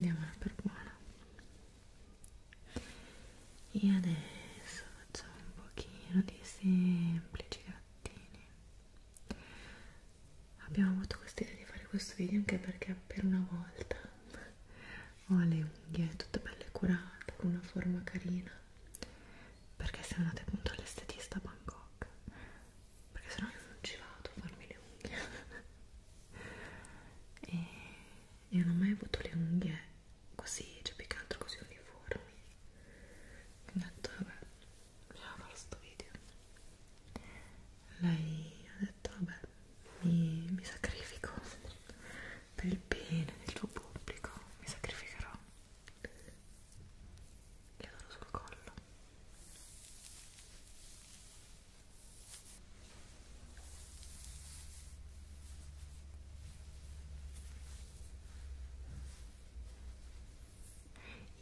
diamola per buona e adesso facciamo un pochino di semplici gattini abbiamo avuto questa idea di fare questo video anche perché per una volta ho le unghie tutte belle curate con una forma carina perché siamo andate appunto all'estetista a Bangkok perché sennò io non ci vado a farmi le unghie e io non ho mai avuto le unghie così, cioè più che altro così uniformi quindi ho detto vabbè bisogna fare questo video lei ha detto vabbè mi, mi sacrifico per il bene del tuo pubblico mi sacrificherò gli adoro sul collo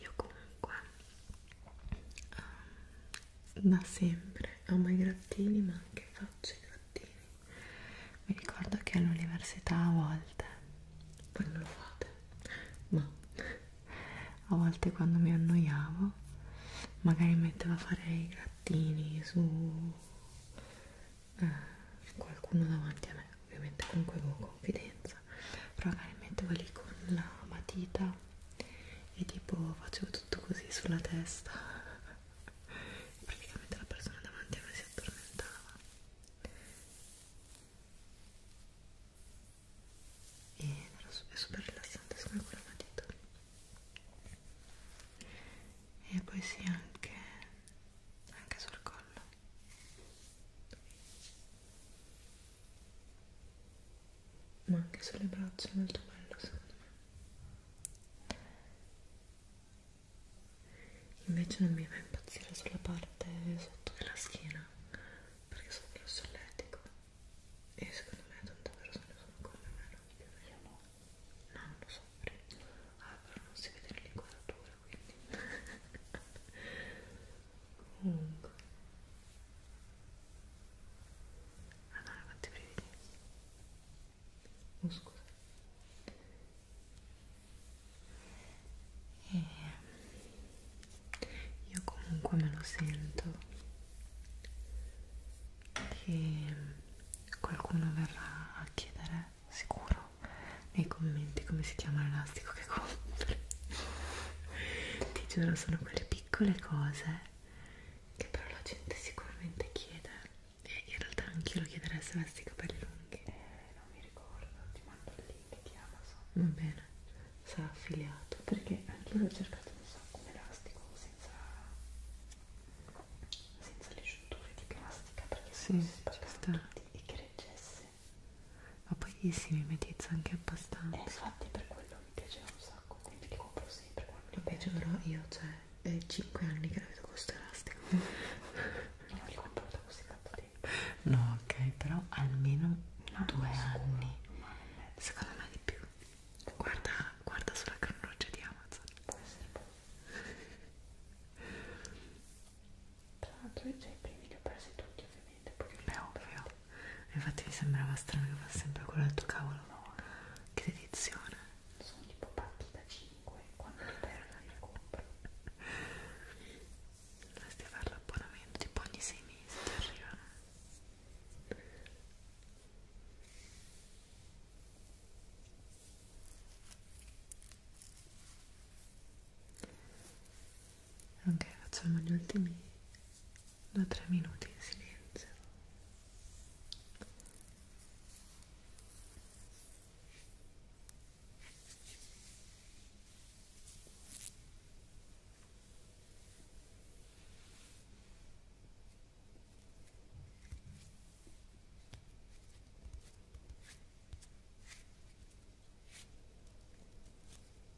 io comunque um, da sempre amo i grattini ma anche faccio i grattini. Mi ricordo che all'università a volte, voi non lo fate, ma a volte quando mi annoiavo magari mettevo a fare i gattini su eh, qualcuno davanti a me ovviamente comunque con confidenza però magari mettevo lì con la matita e tipo facevo tutto così sulla testa praticamente la persona davanti a me si addormentava e è super rilassante come quella matita e poi sì anche, anche sul collo ma anche sulle braccia è molto bello secondo me invece non mi fa impazzire sulla parte sotto della schiena perché sono più solletico e secondo me tante persone sono come me non più io no no non lo so ah però non si vede l'inquadratura quindi comunque Madonna ah, quanti brividi oh, scusa e eh, io comunque me lo sento che qualcuno verrà a chiedere sicuro nei commenti come si chiama l'elastico che compri ti giuro sono quelle piccole cose che però la gente sicuramente chiede in realtà anch'io lo chiederei se avessi i capelli lunghi. Eh, non mi ricordo, ti mando il link di Amazon. Va bene, sarà affiliato. Perché anche io l'ho cercato un sacco un elastico senza, senza le giunture di plastica perché sì, si spaccano tutti e che reggesse. Ma poi si mimetizza anche abbastanza. Eh, infatti per quello mi piaceva un sacco, quindi li compro sempre quando li Vabbè, giuro, io cioè eh, 5 anni che la vedo con sto elastico non li comporto così tanto tempo no ok però almeno 2 anni secondo me di più guarda, guarda sulla cannuccia di Amazon può essere buono tra l'altro io già i primi li ho presi tutti ovviamente poi li ho ovvio infatti mi sembrava strano che fosse sempre quello del tuo cavolo no. che edizione sono tipo pacchi da 5 quando li perdo li compro dovresti fare l'abbonamento tipo ogni 6 mesi ti arriva ok facciamo gli ultimi da tre minuti in silenzio Ora